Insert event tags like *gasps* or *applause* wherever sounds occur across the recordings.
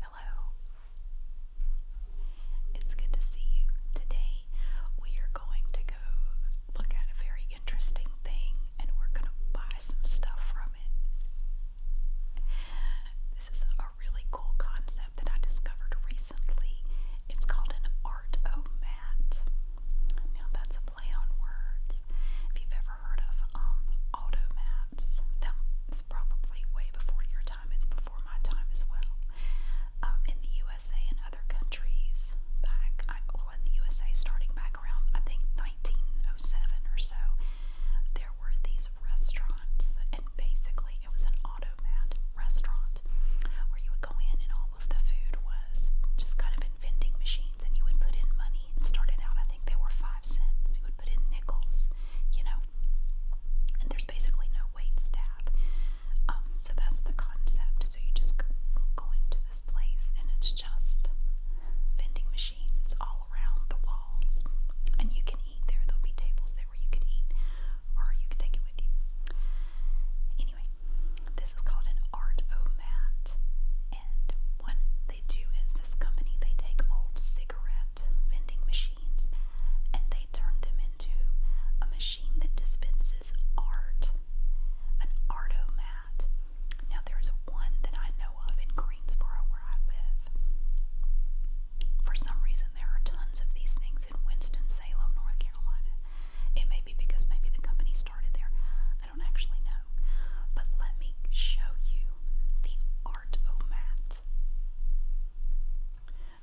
Hello. It's good to see you. Today we are going to go look at a very interesting thing and we're going to buy some stuff from it. This is a really cool concept that I discovered recently. It's called an art o mat. Now that's a play on words. If you've ever heard of um, automats. That's probably way before your time. It's before my time as well. Um, in the USA and other countries, back I, well in the USA, starting back around I think 1907 or so, there were these restaurants, and basically it was an automat restaurant where you would go in and all of the food was just kind of in vending machines, and you would put in money money. It started out, I think they were five cents. You would put in nickels, you know. And there's basically no wait staff. Um, so that's the concept. So you just go into this place and it's just vending machines all around the walls. And you can eat there. There'll be tables there where you can eat or you can take it with you. Anyway, this is called an art-o-mat. And what they do is this company, they take old cigarettes at vending machines and they turned them into a machine that dispenses art, an artomat. Now, there's one that I know of in Greensboro where I live. For some reason, there are tons of these things in Winston-Salem, North Carolina. It may be because maybe the company started there. I don't actually know. But let me show you the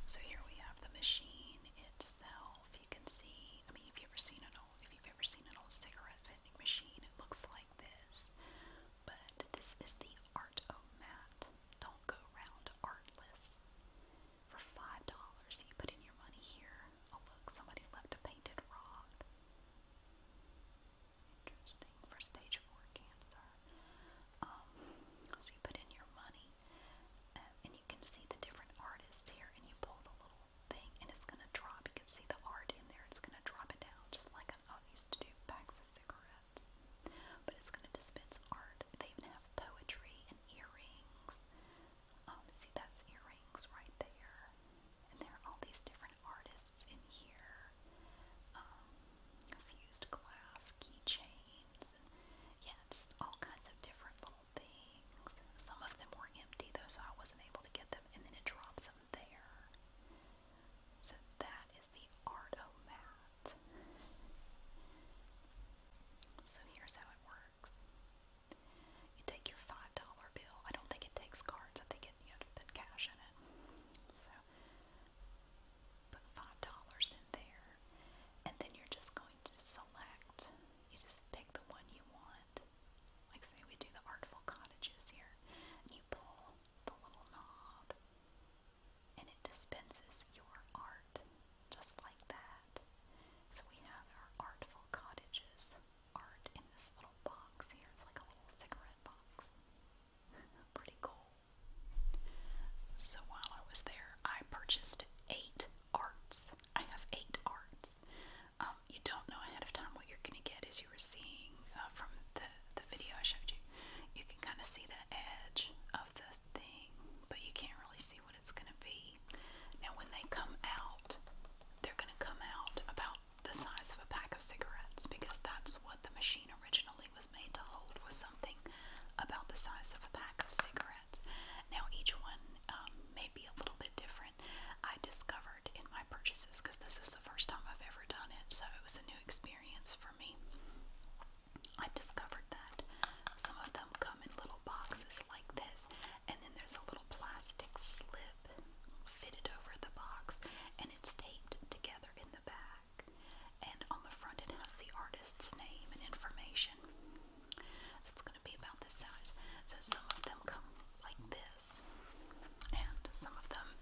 so here we have the machine itself. You can see, I mean, if you've ever seen an old, if you've ever seen an old cigarette vending machine, it looks like this. But this is the art of mat Don't go round artless. For five dollars, you put in your money here. Oh look, somebody left a painted rod interesting for stage 4 cancer. Um, so you put in your money um, and you can see the different artists here and you pull the little thing and it's going to drop. You can see the art in there. It's going to drop it down just like I used to do packs of cigarettes. But it's going to dispense art. They even have poetry and earrings. Um, see, that's earrings right there. And there are all these different different artists in here. Um, fused glass, keychains, and yeah, just all kinds of different little things. Some of them were empty though, so I wasn't able to get them, and then it drops them there. So that is the Artomat. So here's how it works. You take your five dollar bill. I don't think it takes cards. I think it you have to put cash in it. So put five dollars in there, and then you're just going to select. You just pick the one you want. Like say we do the artful cottages here, and you pull the little knob, and it dispenses your art just like that. So we have our artful cottages art in this little box here. It's like a little cigarette box. Pretty cool. So while I was there, I purchased eight arts. I have eight arts. Um, you don't know ahead of time what you're going to get, as you were seeing uh, from the the video I showed you. You can kind of see the edge of the thing, but you can't really see what it's going to be. Now, when they come out, they're going to come out about the size of a pack of cigarettes because that's what the machine originally was made to hold was something about the size of a pack of cigarettes. Now each one um, may be a little bit different. I discovered in my purchases because this is the first time I've ever done it, so it was a new experience for me. I discovered that some of them come in little boxes like this, and then there's a little plastic slip fitted over the box, and it's taped together in the back. And on the front, it has the artist's name and information. So it's going to be about this size. So some of them come like this, and some of them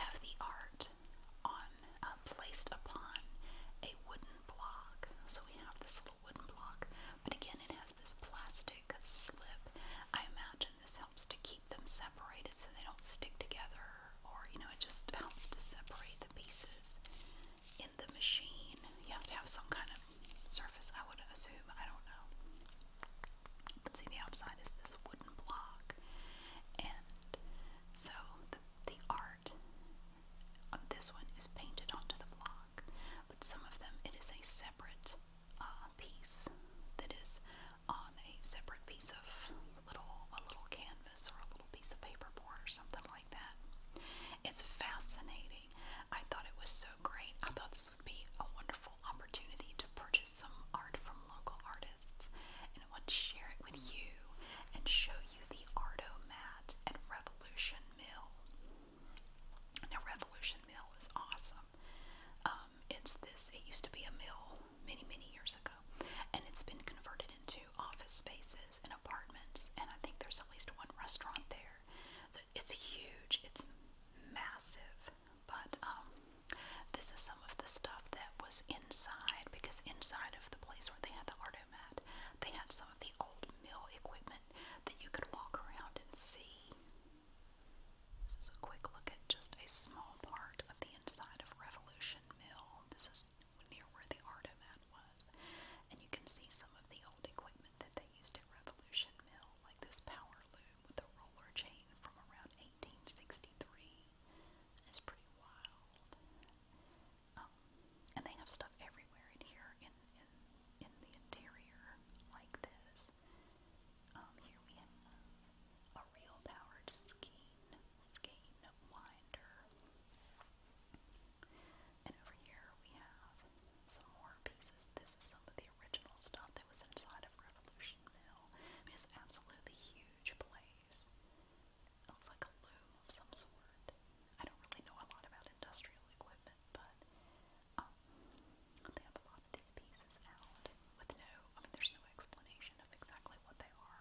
have the art on uh, placed upon a wooden block. So we have this little wooden block, but again, it has this plastic slip. I imagine this helps to keep keep them separated so they don't stick together, or you know, it just helps to separate the pieces in the machine. You have to have some kind of surface, I would assume. I don't know. But see, the outside is this wooden block, and so the, the art on this one is painted onto the block, but some of them it is a separate uh, piece that is on a separate piece of little a little canvas or a little piece of paperboard or something like that. It's fascinating. I thought it was so great. I thought this would be a wonderful opportunity to purchase some art from local artists and I want to share it with you and show you the Arto mat at Revolution Mill. Now Revolution Mill is awesome awesome. Um, um, it's this, it used to be a mill many, many years ago, and it's been converted into office spaces and apartments, and I think there's at least one restaurant there. So it's huge, it's massive, but um, this is some of the stuff that was inside because inside of the place where they had the Artomat, they had some of the old mill equipment that you could walk around and see. This is a quick look at just a small part of the inside of Revolution Mill. This is near where the Artomat was. And you can see some of the old equipment that they used at Revolution Mill, like this power loom with a roller chain from around 1863. It's pretty wild. Um, and they have stuff everywhere in here in in the interior like this. Um, here we have a real powered skein, skein winder. And over here we have some more pieces. This is some of the original stuff that was inside of Revolution Mill. it's absolutely huge place. It looks like a loom of some sort. I don't really know a lot about industrial equipment, but um, they have a lot these pieces out with no, I mean, there's no explanation of exactly what they are,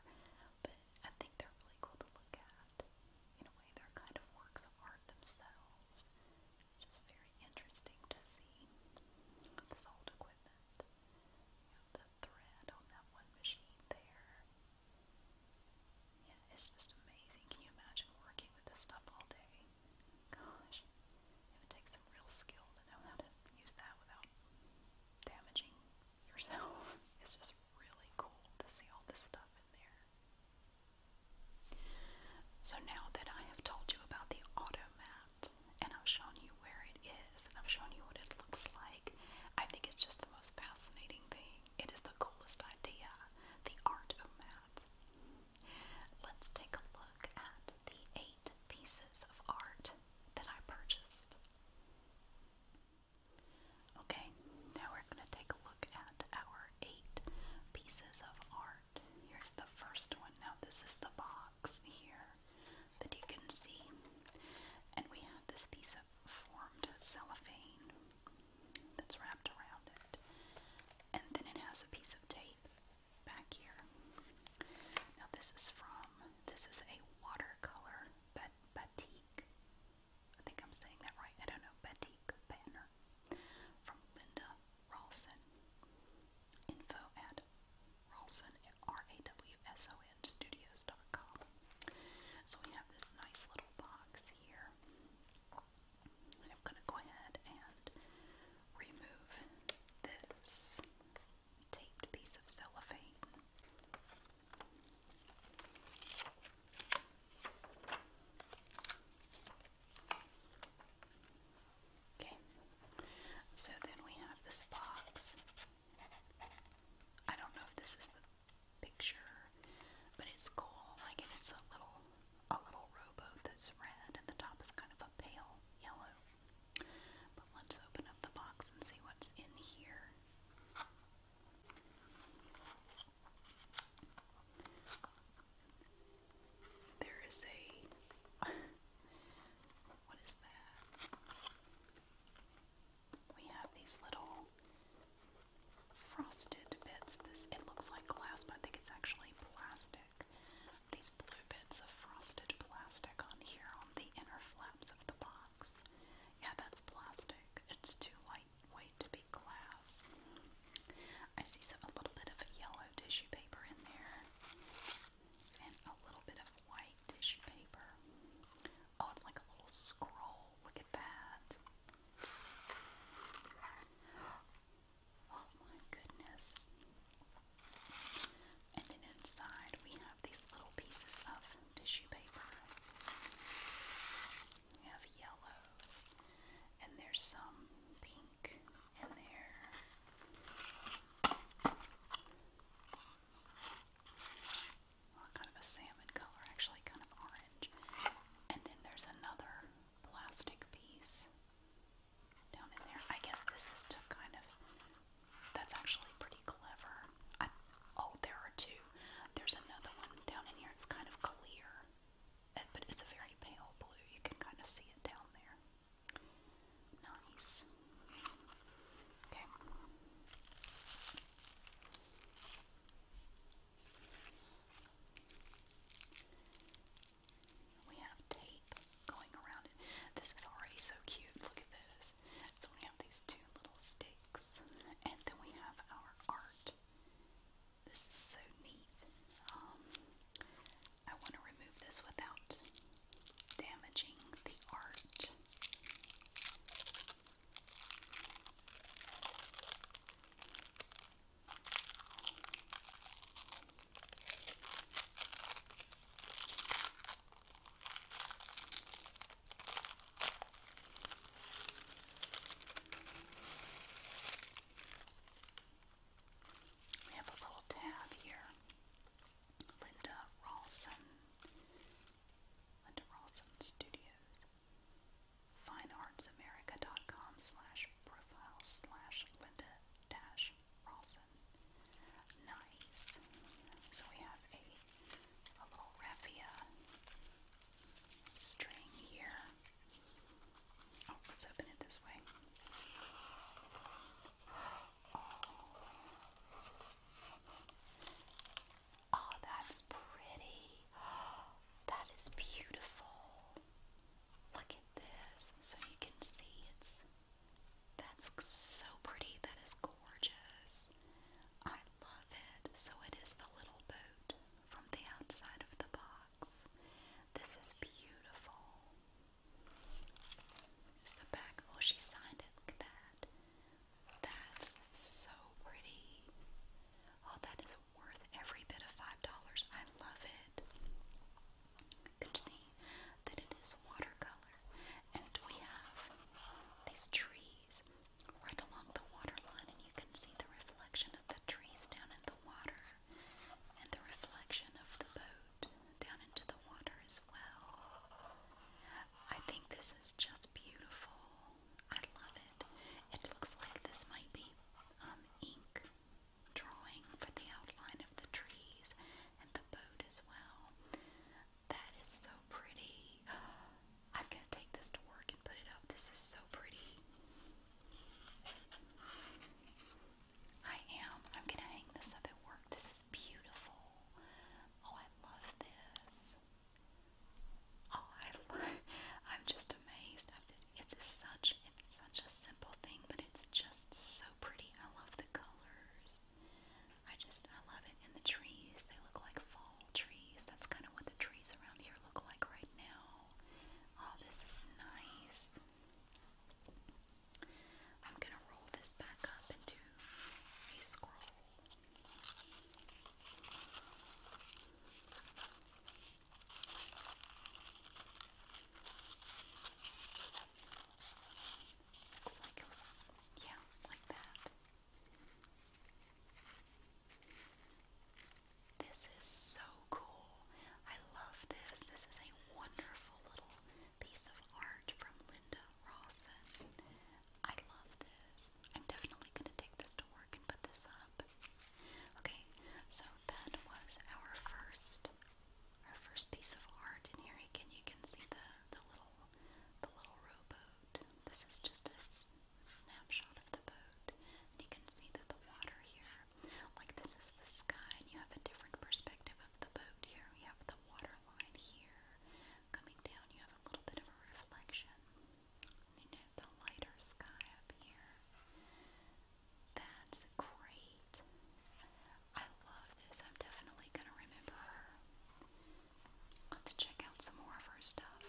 but I think they're really cool to look at. In a way, they're kind of works of art themselves. just very interesting to see this old equipment. the thread on that one machine there. Yeah, it's just amazing. Can you imagine working with this stuff all day? Gosh it takes some real skill to know how to use that without damaging yourself. *laughs* It's just really cool to see all this stuff in there. So now that I have told you about the automat and I've shown you where it is and I've shown you what it looks like, I think it's just the most fascinating thing. It is the coolest idea, the art of mat. Let's take a look at the eight pieces of art that I purchased. Okay, now we're going to take a look at our eight pieces of art. Here's the first one. Now, this is the box here that you can see. And we have this piece of formed cellophane that's wrapped around it. And then it has a piece of tape back here. Now this is from, this is a watercolor batik. I think I'm saying that right. I don't know. Batik banner from Linda Rawson. Info at Rawson at R-A-W-S-O-N studios.com. So we have this nice little box here. And I'm going to go ahead and remove this taped piece of cellophane. Okay, so then we have this box. I don't know if this is the picture, but it's cool. Like, it's a little, a little rowboat that's red, and the top is kind of a pale yellow. But let's open up the box and see what's in here. There is a. what is that? We have these little frosted bits. This it looks like glass, but I think it's actually plastic. These blue bits of frosted plastic on here on the inner flaps of the box. Yeah, that's plastic. It's too lightweight to be glass. I see some a little bit of yellow tissue paper in there. And a little bit of white tissue paper. Oh, it's like a little scroll. Look at that. Oh my goodness. And then inside we have these little pieces of tissue paper. We have yellow, and there's some pink in there. kind of a salmon color, actually, kind of orange. And then there's another plastic piece down in there. I guess this is to kind of. That's actually pretty clever. I, oh, there are two. There's another one down in here. It's kind of clear, eh, but it's a very pale blue. You can kind of see it down there. Nice. Okay. We have tape going around it. This is already so cute. Look at this. So we have these two little sticks, and then we have our art. This is so neat. Um, I want to remove this without damaging the art. We have a little tab here. Linda Rawson. Linda Rawson Studios. FineArtsAmerica.com profile Linda Nice. So we have a, little raffia string here. Oh, let's open it this way. Oh, oh, that's pretty. That is beautiful. Look at this. So you can see it's that's so pretty. That is gorgeous. I love it. So it is the little boat from the outside of the box. This is beautiful. Here's the back. Oh, she signed it. like that. That's so pretty. Oh, that is worth every bit of $5. I love it. You can see that it is watercolor, and we have these trees right along the waterline, and you can see the reflection of the trees down in the water, and the reflection of the boat down into the water as well. I think this is just beautiful. I love it. It looks like this might be um, ink drawing for the outline of the trees and the boat as well. That is so pretty. *gasps* I'm going to take this to work and put it up. This is so pretty. I am. I'm going to hang this up at work. This is beautiful. Oh, I love this. Oh, I *laughs* I'm just amazed. It's such it's such a simple thing, but it's just so pretty. I love the colors. I just, I love it. And the trees, they look like fall trees. That's kind of what the trees around here look like right now. Oh, this is nice. I'm going to roll this back up into a scroll. Looks like it was, yeah, like that. This is so cool. I love this. This is a wonderful little piece of art from Linda Rawson. I love this. I'm definitely going to take this to work and put this up. Okay, so that was our first our first piece of art. in here again, you can see the the little the little rowboat. This is just a snapshot of the boat. And you can see that the water here, like this is the sky, and you have a different perspective of the boat here. You have the water line here coming down. You have a little bit of a reflection. you know the lighter sky up here. That's great. I love this. I'm definitely going to remember her. to check out some more of her stuff.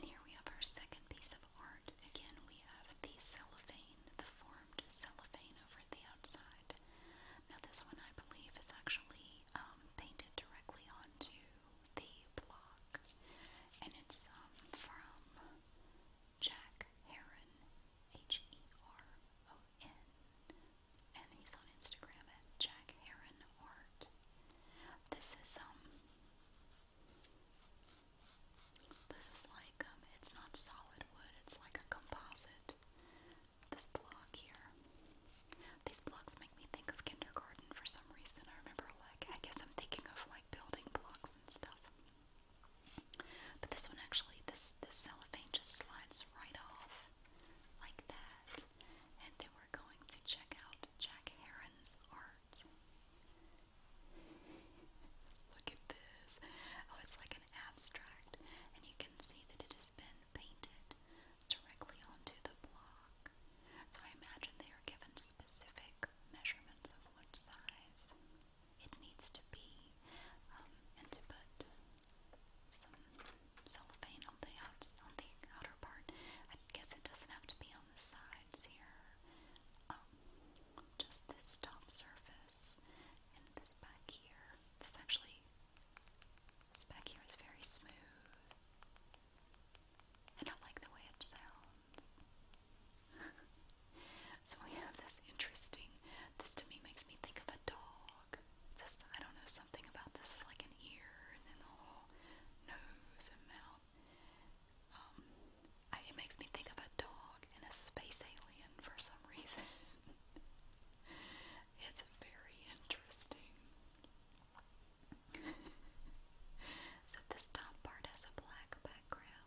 And here we have our second piece of art. Again, we have the cellophane, the formed cellophane over the outside. Now, this one I believe is actually um, painted directly onto the block, and it's um, from Jack Heron, H E R O N, and he's on Instagram at Jack Heron Art. This is um, this is like um, it's not solid wood; it's like a composite. This block here, these blocks make me think of kindergarten for some reason. I remember like I guess I'm thinking of like building blocks and stuff. But this one actually, this, this cellophane just slides right off like that. And then we're going to check out Jack Heron's art. Look at this. Oh, it's like an abstract. And you can see that it has been painted directly onto the block. So I imagine they are given specific measurements of what size it needs to be, um, and to put some cellophane on the outs on the outer part. I guess it doesn't have to be on the sides here. Um, just this top surface and this back here. This actually, this back here is very smooth. And I like the way it sounds. *laughs* so we have this interesting, this to me makes me think of a dog. Just, I don't know, something about this is like an ear and then the little nose and mouth. Um, it makes me think of a dog and a space alien for some reason. *laughs* it's very interesting. *laughs* so this top part has a black background.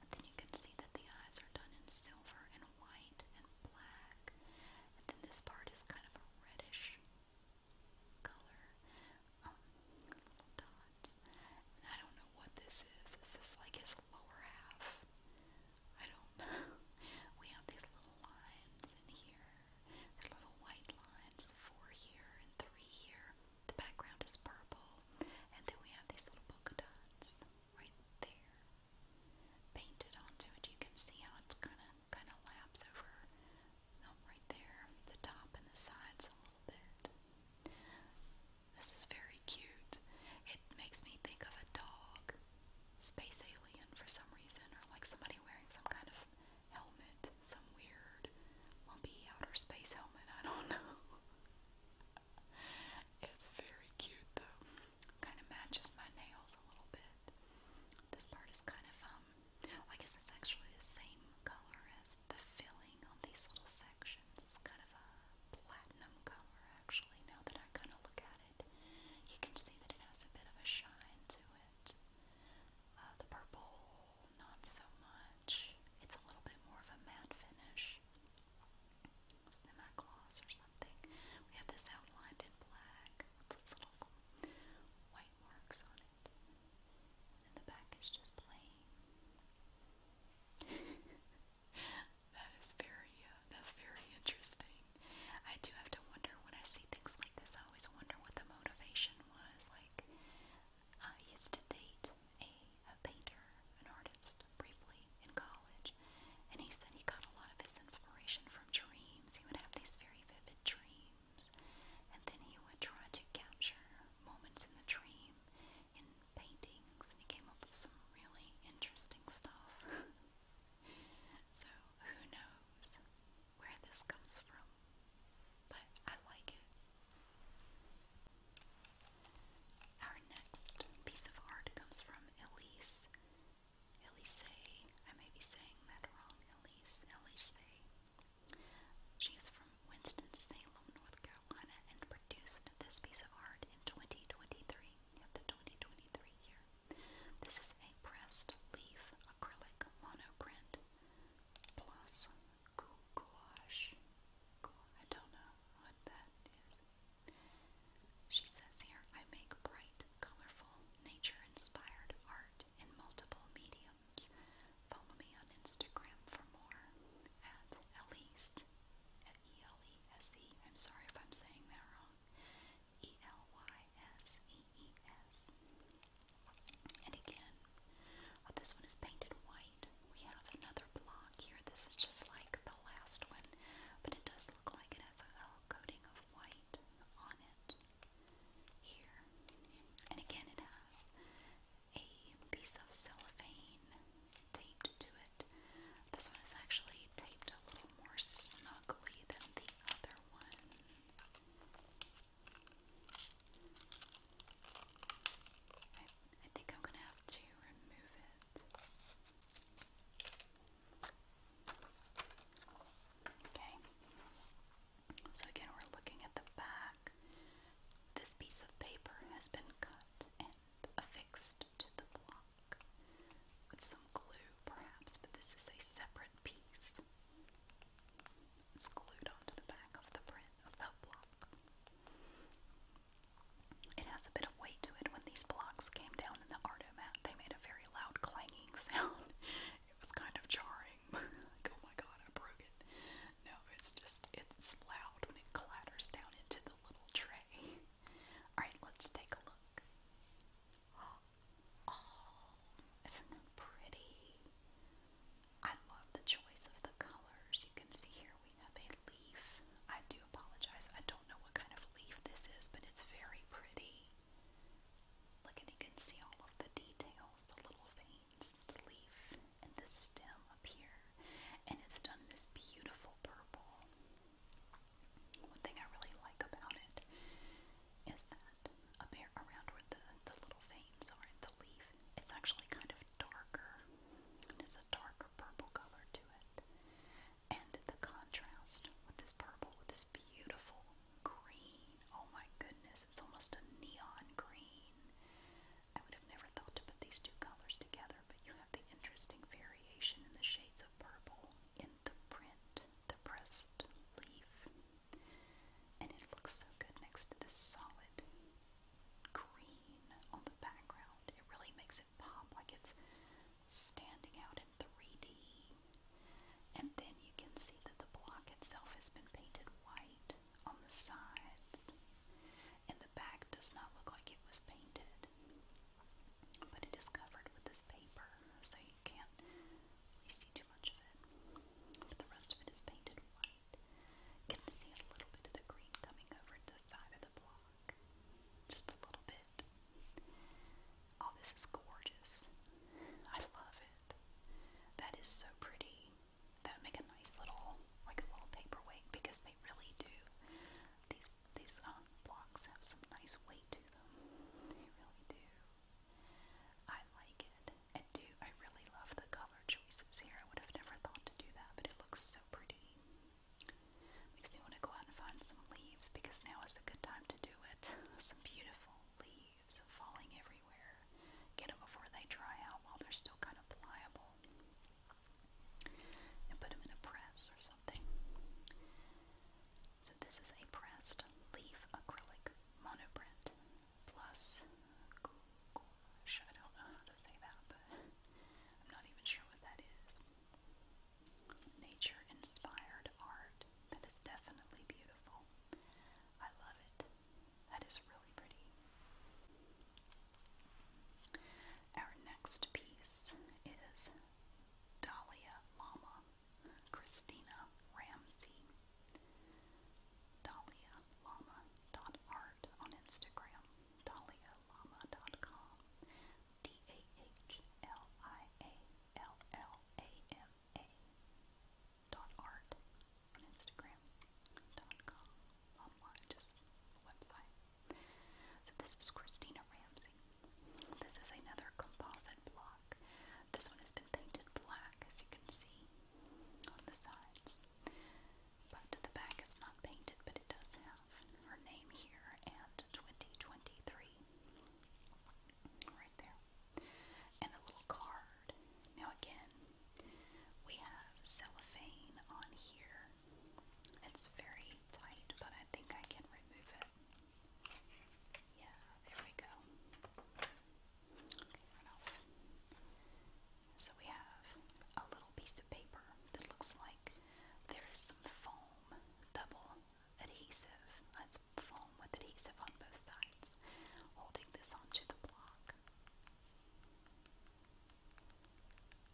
And then you can see that the eyes are done in silver and white and black. And then this part is kind of a reddish color. Um, little dots. I don't know what this is. Is this like his lower half? I don't *laughs* know. We have these little lines in here. little white lines, four here and three here. The background is purple, and then we have these little polka dots right there painted onto it. You can see how it's gonna kind of laps over um, right there, the top and the sides a little bit. This is very cute. It makes me think of a dog, space alien for some reason, or like somebody wearing some kind of helmet, some weird lumpy outer space helmet. I don't *laughs* know it's very cute though. Kind of matches my nails a little bit. This part is kind of um I guess it's actually the same color as the filling on these little sections. It's kind of a platinum color actually now that I kind of look at it. You can see that it has a bit of a shine to it. Uh, the purple not so much. It's a little bit more of a matte finish. Semi gloss or something. We have this outlined in black with these little white marks on it. And the back is just plain. *laughs* that is very, uh, that's very interesting. I do have to wonder when I see things like this. I always wonder what the motivation was. Like, used uh, to date a, painter, an artist, briefly in college, and he said he got a lot of his inspiration from dreams. He would have these very vivid dreams, and then he would try to capture moments in the dream in paintings, and he came up with some really interesting stuff. *laughs* so, who knows where this comes from? But I like it. Our next piece of art comes from Elise. Elise, I may be saying that wrong. Elise, Elise. She is from Winston-Salem, North Carolina, and produced this piece of art in 2023, at the 2023 year. This is a pressed leaf acrylic monoprint plus gouache. I don't know what that is. She says here, I make bright, colorful, nature-inspired art in multiple mediums. Follow me on Instagram for more at Elise, at -E. I'm sorry if I'm saying that wrong, E-L-Y-S-E-E-S. -E -E -S. And again, oh, this one is painted white we have another block here. This is just like the last one, but it does look like it has a coating of white on it here. And again, it has a piece of cellophane taped to it. This one is actually taped a little more snugly than the other one. I think I'm gonna have to remove it. Okay. So again, we're looking at the back. This piece of paper has been cut and affixed to the block with some glue, perhaps, but this is a separate piece. It's glued onto the back of the print of the block. It has a bit of weight to it. When these blocks came down in the Ardo mat, they made a very loud clanging *laughs* sound. it was kind of jarring. *laughs* oh my god, I broke it. No, it's just, it's loud when it clatters down into the little tray. Alright, let's take a look. *gasps* Oh, isn't that pretty? I love the choice of the colors. You can see here we have a leaf. I do apologize. I don't know what kind of leaf this is, but it's very pretty. Look, and you can see all of the details, the little veins, the leaf, and the stem up here. And it's done this beautiful purple. One thing I really like about it is that around where the, the little veins are in the leaf, it's actually kind of darker. It has a darker purple color to it. And the contrast with this purple, this beautiful green. Oh my goodness, it's almost a neon green. I would have never thought to put these two colors together, but you have the interesting variation in the shades of purple in the print, the pressed leaf. And it looks so good next to this solid green on the background. It really makes it pop like it's standing out in 3D. And then you can see that the block itself has been painted white on the sides. And the back does not look like it was painted. But it is covered with this paper, so you can't see too much of it. But the rest of it is painted white can see a little bit of the green coming over the side of the block. Just a little bit. Oh, this is gorgeous. I love it. That is so pretty. That would make a nice little, like a little paperweight because they really do. These these uh, blocks have some nice weight to them. They really do. I like it. I do, I really love the color choices here. I would have never thought to do that, but it looks so pretty. Makes me want to go out and find some leaves because now is a good time to do it. *laughs* Some beautiful leaves falling everywhere. Get them before they dry out while they're still kind of pliable. And put them in a press or something. So, this is a pressed leaf acrylic monoprint plus I don't know how to say that, but I'm not even sure what that is. Nature inspired art that is definitely beautiful. I love it. That is really pretty. Our next piece is Dahlia Lama, Christina Ramsey. Dahlia Lama Art on Instagram, DahliaLlama.com, D A H L I A L L A M A dot art on Instagram dot com just website. So this is Christina Ramsey. This is another composite block. This one has been painted black, as you can see on the sides but the back is not painted, but it does have her name here and 2023 right there, and a little card. Now, again, we have cellophane on here. It's very tight, but I think I can remove it. Yeah, there we go. So we have a little piece of paper that looks like there is some foam, double adhesive. That's foam with adhesive on both sides, holding this onto the block.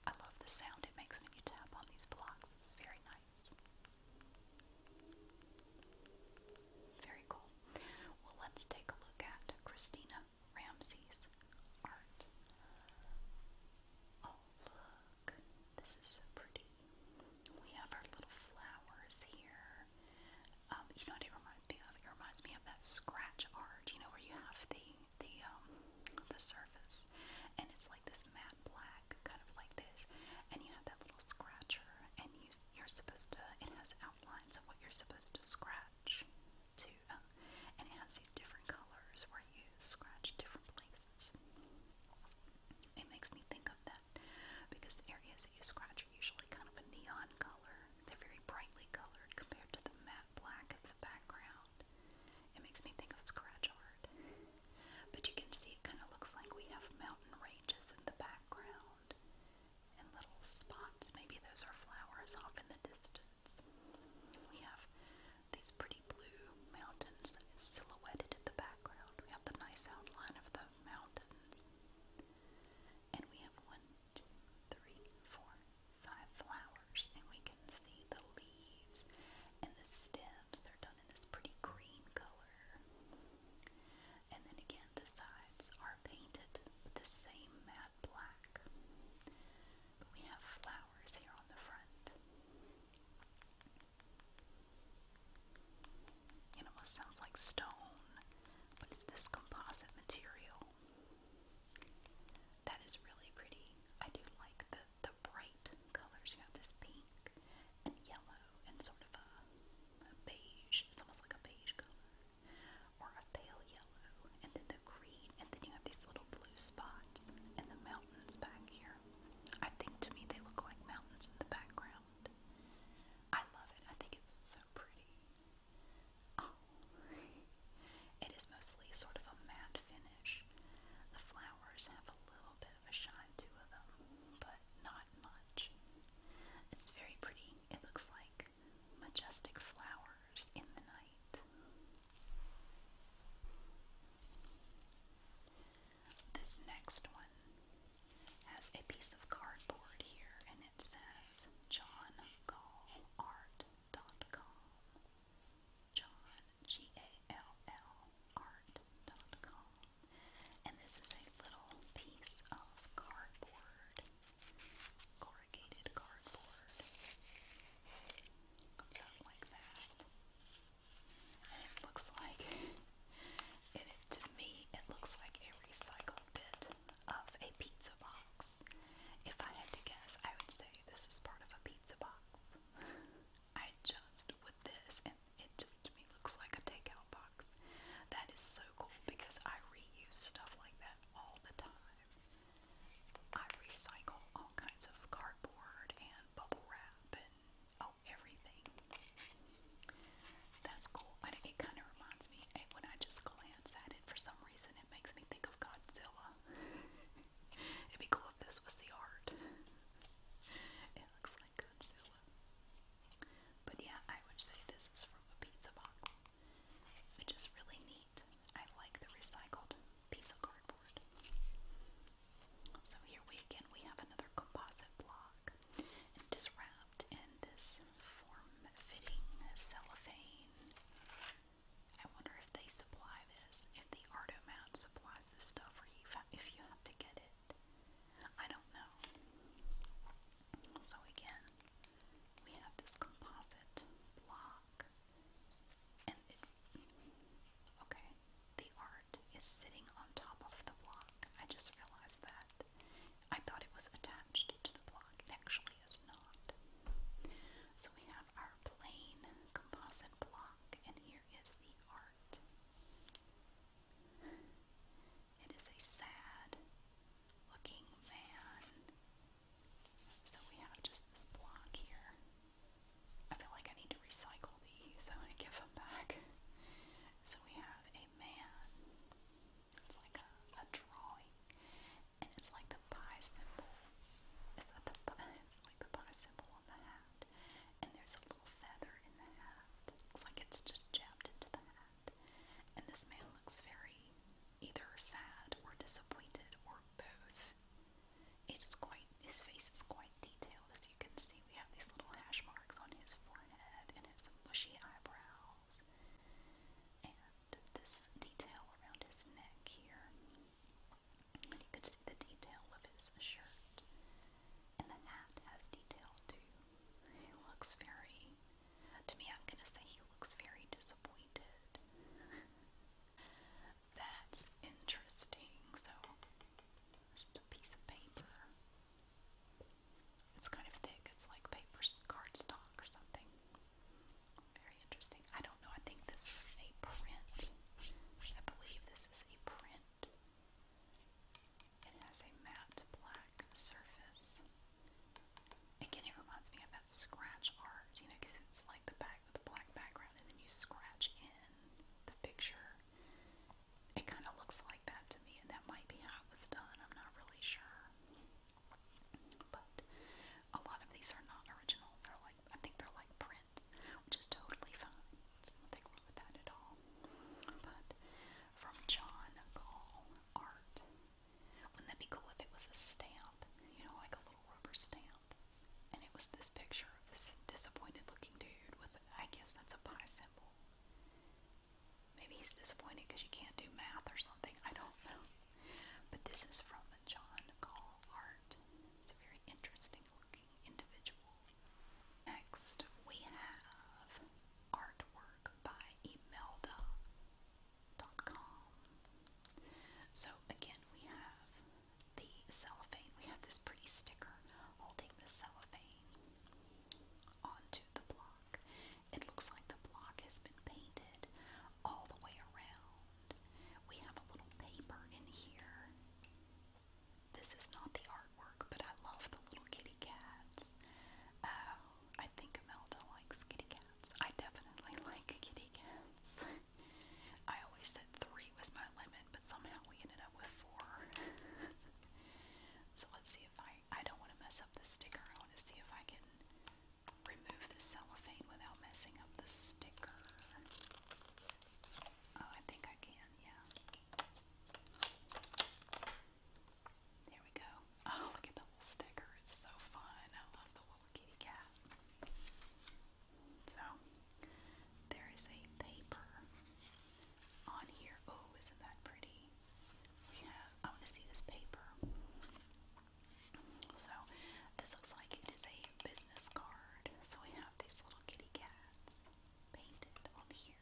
I love the sound it makes when you tap on these blocks. It's very nice. Very cool. Well, let's take a look at Christina Ramsey's art. Oh, look, this is so pretty. We have our little flowers here. Um, you know what it reminds me of? It reminds me of that scratch art, you know, where you have the the um the surface and it's like this matte black, kind of like this, and you have that little scratcher and you you're supposed to it has outlines of what you're supposed to scratch scratch to, and it has these different colors where you scratch different places. It makes me think of that because the areas that you scratch are usually kind of a neon color. They're very brightly colored compared to the matte black of the background. It makes me think of scratch art. But you can see it kind of looks like we have mountain ranges in the background and little spots. Maybe those are flowers off in the distance. We have these pretty blue mountains silhouetted in the background. We have the nice outline of the mountains. And we have one, two, three, four, five flowers. And we can see the leaves and the stems. They're done in this pretty green color. And then again, the sides are painted with the same black. we have flowers here on the front. It almost sounds like stone, but it's this composite material. That is really pretty. I do like the, the bright colors. You have this pink and yellow and sort of a beige. It's almost like a beige color or a pale yellow, and then the green, and then you have these little blue spots and the mountains back here. I think to me they look like mountains in the background. I love it. I think it's so pretty. Oh. it is mostly sort of a matte finish. The flowers have a little bit of a shine to them, but not much. It's very pretty. It looks like majestic flowers in the night. This next one has a piece of cardboard here and it says John Gall Art.com. John G A L L Art.com. And this is a little piece of cardboard corrugated cardboard. Comes out like that. And it looks like, it, it, to me, it looks like a recycled bit of a pizza box. If I had to guess, I would say this is part of a pizza box. I just, with this, and it just to me looks like a takeout box. That is so cool because I reuse stuff like that all the time. I recycle all kinds of cardboard and bubble wrap and oh, everything. That's cool. it kind of reminds me, eh, when I just glance at it, for some reason, it makes me think of Godzilla. *laughs* It'd be cool if this was the art. *laughs* It looks like Godzilla. But yeah, I would say this is from a pizza box which is really neat. I like the recycled piece of cardboard. So here we again we have another composite block, and it is wrapped in this form-fitting cellophane. I wonder if they supply this, if the Artomat supplies this stuff, or if you have to get it. I don't know. So again, we have this composite block, and Okay, the art is sitting on top of the block. I just realized that. I thought it was attached to the block. It actually is not. So we have our plain composite block, and here is the art. It is a sad looking man so we have just this block here. I feel like I need to recycle these. I want to give them back. So we have a man. It's like a, drawing. And it's like the pie symbol. It's, not the pie, it's like the pie symbol on the hat. And there's a little feather in the hat. Looks like it's just jabbed into the hat. And this man looks very either sad or disappointed or both. It is quite, his face is quite detailed. As you can see, we have these little hash marks on his forehead and his bushy eyebrows. And this detail around his neck here. you could see the detail of his shirt. And the hat has detail too. He looks very to me, I'm gonna say he looks very disappointed. *laughs* That's interesting. So, it's a piece of paper. It's kind of thick. It's like paper cardstock or something. Very interesting. I don't know. I think this is a print. I believe this is a print. It has a matte black surface. Again, it reminds me of that scratch art, you know, because it's like the back with the black background, and then you scratch in the picture. It kind of looks like that to me, and that might be how it was done. I'm not really sure. But a lot of these are not originals. They're like, I think they're like prints, which is totally fine. It's nothing wrong with that at all. But from John Gall Art. Wouldn't that be cool if it was a stamp? You know, like a little rubber stamp. And it was this picture of this disappointed looking dude with, I guess that's a pie symbol. Maybe he's disappointed because you can't do math or something. I don't know. But this is from the John Gall Art. It's a very interesting looking individual. Next, we have artwork by Imelda so again, we have the cellophane. We have this pretty sticker holding the cellophane onto the block. It looks like the block has been painted all the way around. We have a little paper in here. This is not the artwork, but I love the little kitty cats. Uh, I think Imelda likes kitty cats. I definitely like kitty cats. I always said three was my limit, but somehow we ended up with four. *laughs* so let's see if I. I don't want to mess up the sticker. I want to see if I can remove the cellophane without messing up the sticker. Oh, I think I can, yeah. There we go. Oh, look at the little sticker. It's so fun. I love the little kitty cat. So, there is a paper on here. Oh, isn't that pretty? We have, I want to see this paper. So, this looks like it is a business card. So, we have these little kitty cats painted on here.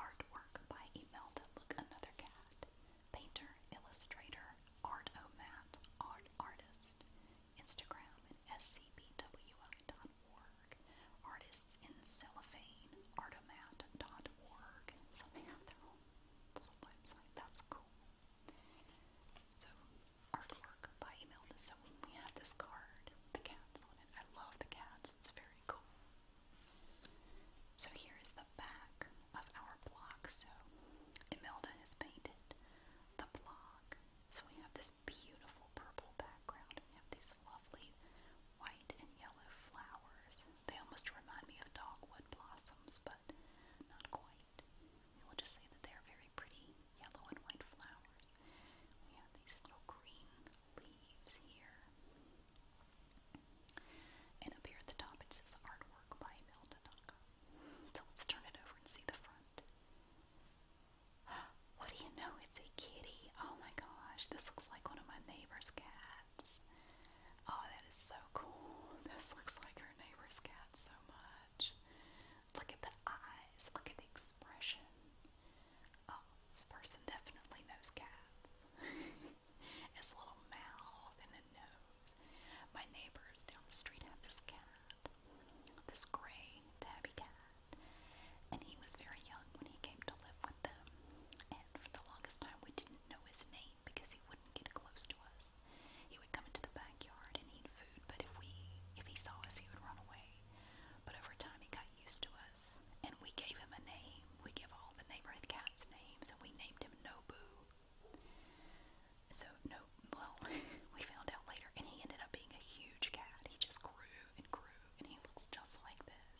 Artwork by Imelda. Look, another cat painter, illustrator, art omat, art artist, Instagram at scbwi.org, artists in cellophane, artomat.org. So they have their own little website. That's cool. So artwork by email. So we have this card the cats on it. I love the cats. It's very cool. So here is the back of our block. So Imelda has painted the block. So we have this beautiful purple background and we have these lovely white and yellow flowers. They almost remind me of dogwood blossoms, but not quite. We will just say that they are very pretty yellow and white flowers. We have these little green leaves here. And up here at the top it says artwork by Mel So let's turn it over and see the front. *gasps* What do you know? It's a kitty. Oh my gosh, this looks like one of my neighbor's cats. Oh, that is so cool. *laughs* This looks like her neighbor's cat so much. Look at the eyes, look at the expression. Oh, this person definitely knows cats. *laughs* his little mouth and a nose. My neighbors down the street had this cat, this gray tabby cat, and he was very young when he came to live with them. And for the longest time, we didn't know his name because he wouldn't get close to us. He would come into the backyard and eat food, but if we if he saw us, he would run away. But over time, he got used to us, and we gave him a name we give all the neighborhood cats names, and we named him Nobu. So, no, well, *laughs* we found out later, and he ended up being a huge cat. He just grew and grew, and he looks just like this.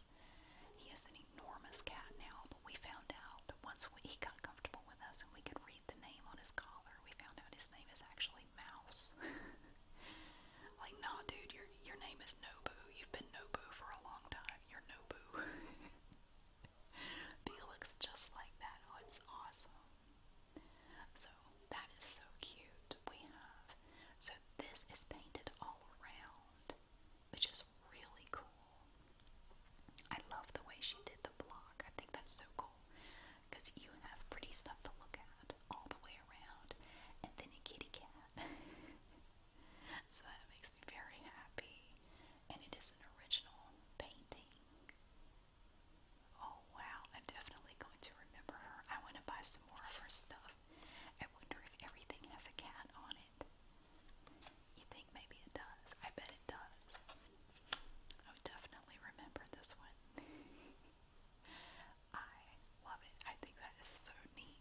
He is an enormous cat now, but we found out once he got comfortable with us and we could read the name on his collar, we found out his name is actually Mouse. *laughs* like, nah, dude, your your name is Nobu. You've been Nobu for a long time. You're Nobu. *laughs* *laughs* Bee looks just like that. Oh, it's awesome. So that is so cute. We have so this is painted all around, which is really cool. I love the way she did the block. I think that's so cool because you have pretty stuff to look at all the way around, and then a kitty cat. *laughs* So that makes me very happy. And it is an original painting. Oh wow, I'm definitely going to remember her. I want to buy some more of her stuff. I wonder if everything has a cat on it. You think maybe it does? I bet it does. I would definitely remember this one. *laughs* I love it. I think that is so neat.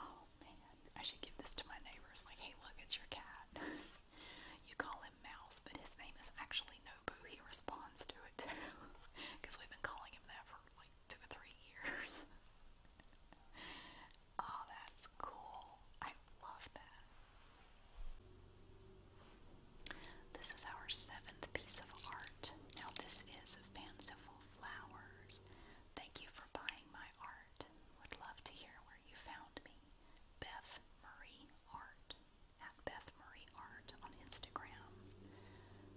Oh man, I should give this to my neighbors. Like, hey, look, it's your cat. *laughs* you call him Mouse, but his name is actually Nobu. He responds to it too, because *laughs* we've been calling him that for like two or three years. *laughs* oh, that's cool. I love that. This is our seventh piece of art. Now, this is fanciful flowers. Thank you for buying my art. Would love to hear where you found me. Beth Marie Art at Beth Murray Art on Instagram.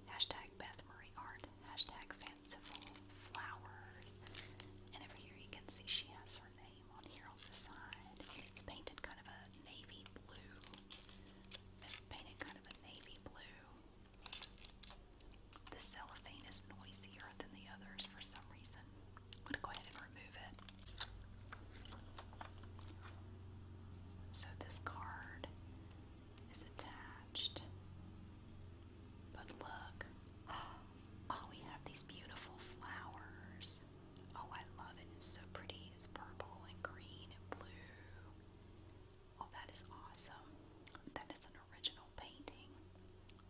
Hashtag Beth Marie Art. Hashtag fanciful flowers. And over here you can see she has her name on here on the side. And it's painted kind of a navy blue. It's painted kind of a navy blue the cellophane is noisier than the others for some reason. I'm going to go ahead and remove it. So this card is attached. But look, *gasps* oh, we have these beautiful flowers. Oh, I love it. It's so pretty. It's purple and green and blue. Oh, that is awesome. That is original painting.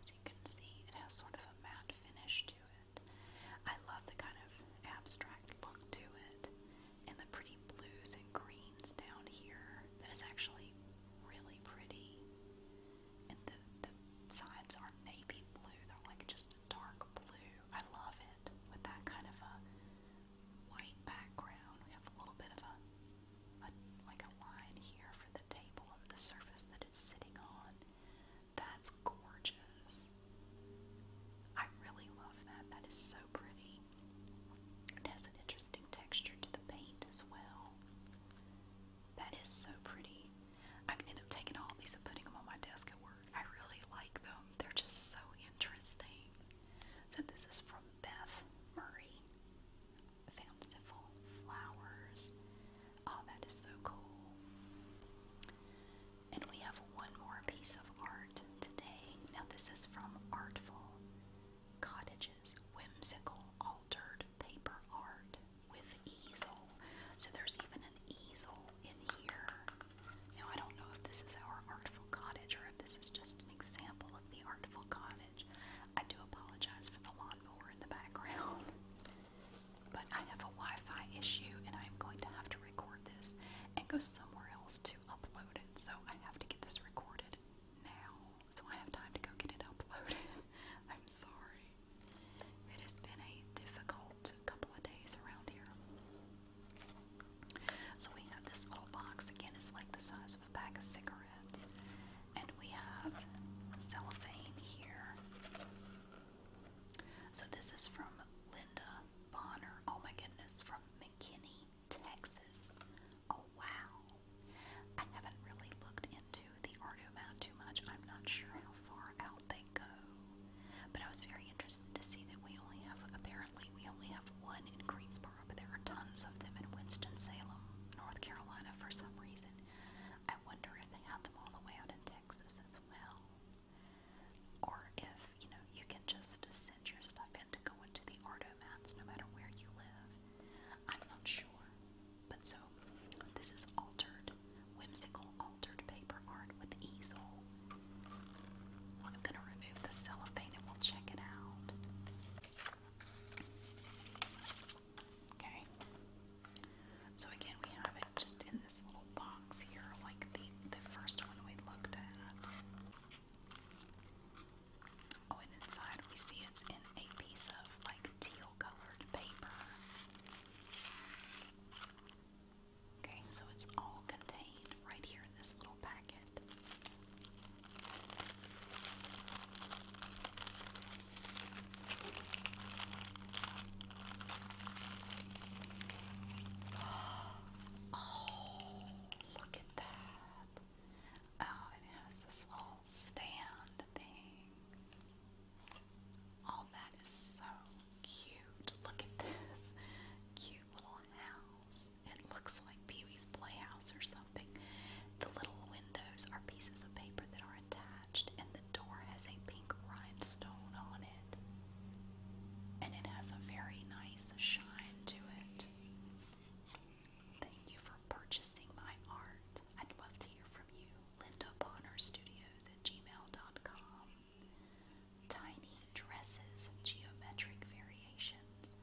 As you can see, it has sort of a matte finish to it. I love the kind of abstract look to it, and the pretty blues and greens down here. That is actually really pretty. And the, sides are navy blue, they're like just dark blue. I love it with that kind of a white background. We have a little bit of a, like a line here for table and the surface that it's sitting on. That's gorgeous. I really love that. That is so pretty. It has an interesting texture to the paint as well. That is so pretty. I can end up taking all these and putting them on my desk at work. I really like them. They're just so interesting. So this is from Beth Murray fanciful flowers. Oh, that is so cool. And we have one more piece of art today. Now, this is from Artful Cottages Whimsical Altered Paper Art with Easel. So, there's even an easel in here. Now, I don't know if this is our Artful Cottage or if this is just an example of the Artful Cottage. I do apologize for the lawnmower in the background. *laughs* But I have a Wi Fi issue and I'm going to have to record this and go somewhere else to upload it. So I have to get this recorded now. So I have time to go get it uploaded. *laughs* I'm sorry. It has been a difficult couple of days around here. So we have this little box. Again, it's like the size size of a pack of cigarettes. And we have cellophane here. So this is from Linda Bonner. Oh my goodness, from McKinney, Texas. Oh wow. I haven't really looked into the Ardu map too much. I'm not sure how far out they go. But I was very interested to see that we only have apparently we only have one in Greensboro, but there are tons of them in Winston-Salem, North Carolina for some reason. I wonder if they have them all the way out in Texas as well. Or if, you know, you can just send your stuff in to go into the Artomats no matter where you live. I'm not sure. But so, this is altered, whimsical altered paper art with easel. I'm going to remove the cellophane and we'll check it out. Okay. So again, we have it just in this little box here, like the the first one we looked at. Oh, and inside we see it's in a piece of like teal-colored paper. Okay, so it's all contained right here in this little packet. Oh, look at that. Oh, it has this little stand thing. Oh, that is so cute. Look at this cute little house. It looks like Pee Wee's Playhouse or something. The little windows are pieces of paper that are attached, and the door has a pink rhinestone on it. And it has a very nice shine to it. Thank you for purchasing my art. I'd love to hear from you. Linda Bonner Studios at gmail.com. Tiny dresses geometric variations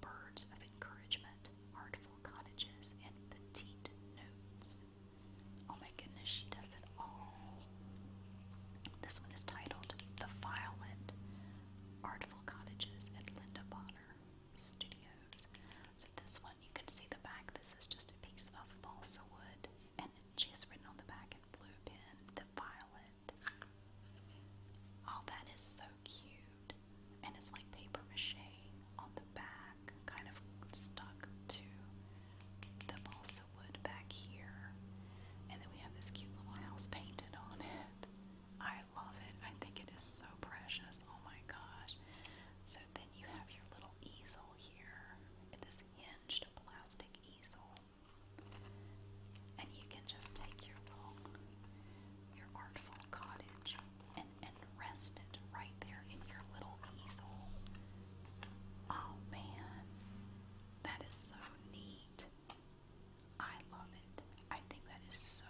birds of encouragement, artful cottages, and petite notes. Oh my goodness, she does it all. This one is titled The Violent Artful Cottages at Linda Bonner Studios. So, this one you can see the back. This is just a piece of balsa wood, and she's written on the back in blue pen The Violet. Oh, that is so cute and it's like paper mache on the back, kind of stuck to the balsa wood back here. And then we have this cute little house painted on it. I love it. I think it is so precious. Oh my gosh. So then you have your little easel here. This hinged plastic easel. And you can just take your little your artful cottage and rest right there in your little easel. Oh man, that is so neat. I love it. I think that is so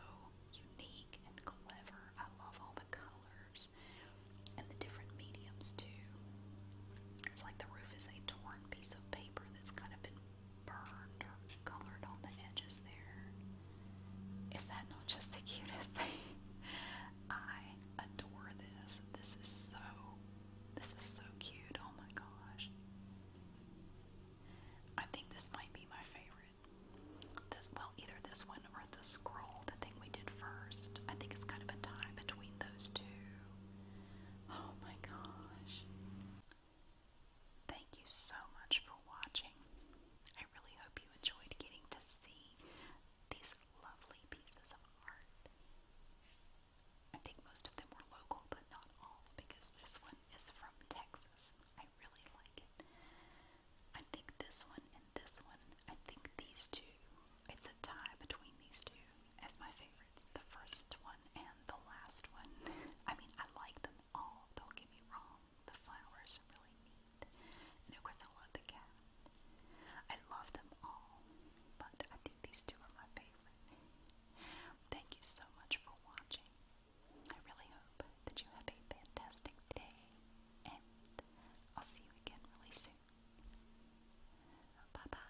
unique and clever. I love all the colors and the different mediums too. It's like the roof is a torn piece of paper that's kind of been burned colored on the edges there. Is that not just the cutest thing? *laughs* I adore this. This is so this is so cute. Oh my gosh. I think this might be my favorite. This well either this one or the scroll, the thing we did first. I think it's kind of a tie between those two. Oh my gosh. Thank you so much for watching. I really hope you enjoyed getting to see these lovely pieces of art. I think most of them were local, but not all, because this one is from Texas. I really like it. I think this one and this one, I think these two, it's a tie between these two as my favorites. The first one and the last one. I mean, I like them all, oh, don't get me wrong, the flowers are really neat, and of course I love the cat. I love them all, but I think these two are my favorite. Thank you so much for watching. I really hope that you have a fantastic day, and I'll see you again really soon. Bye bye.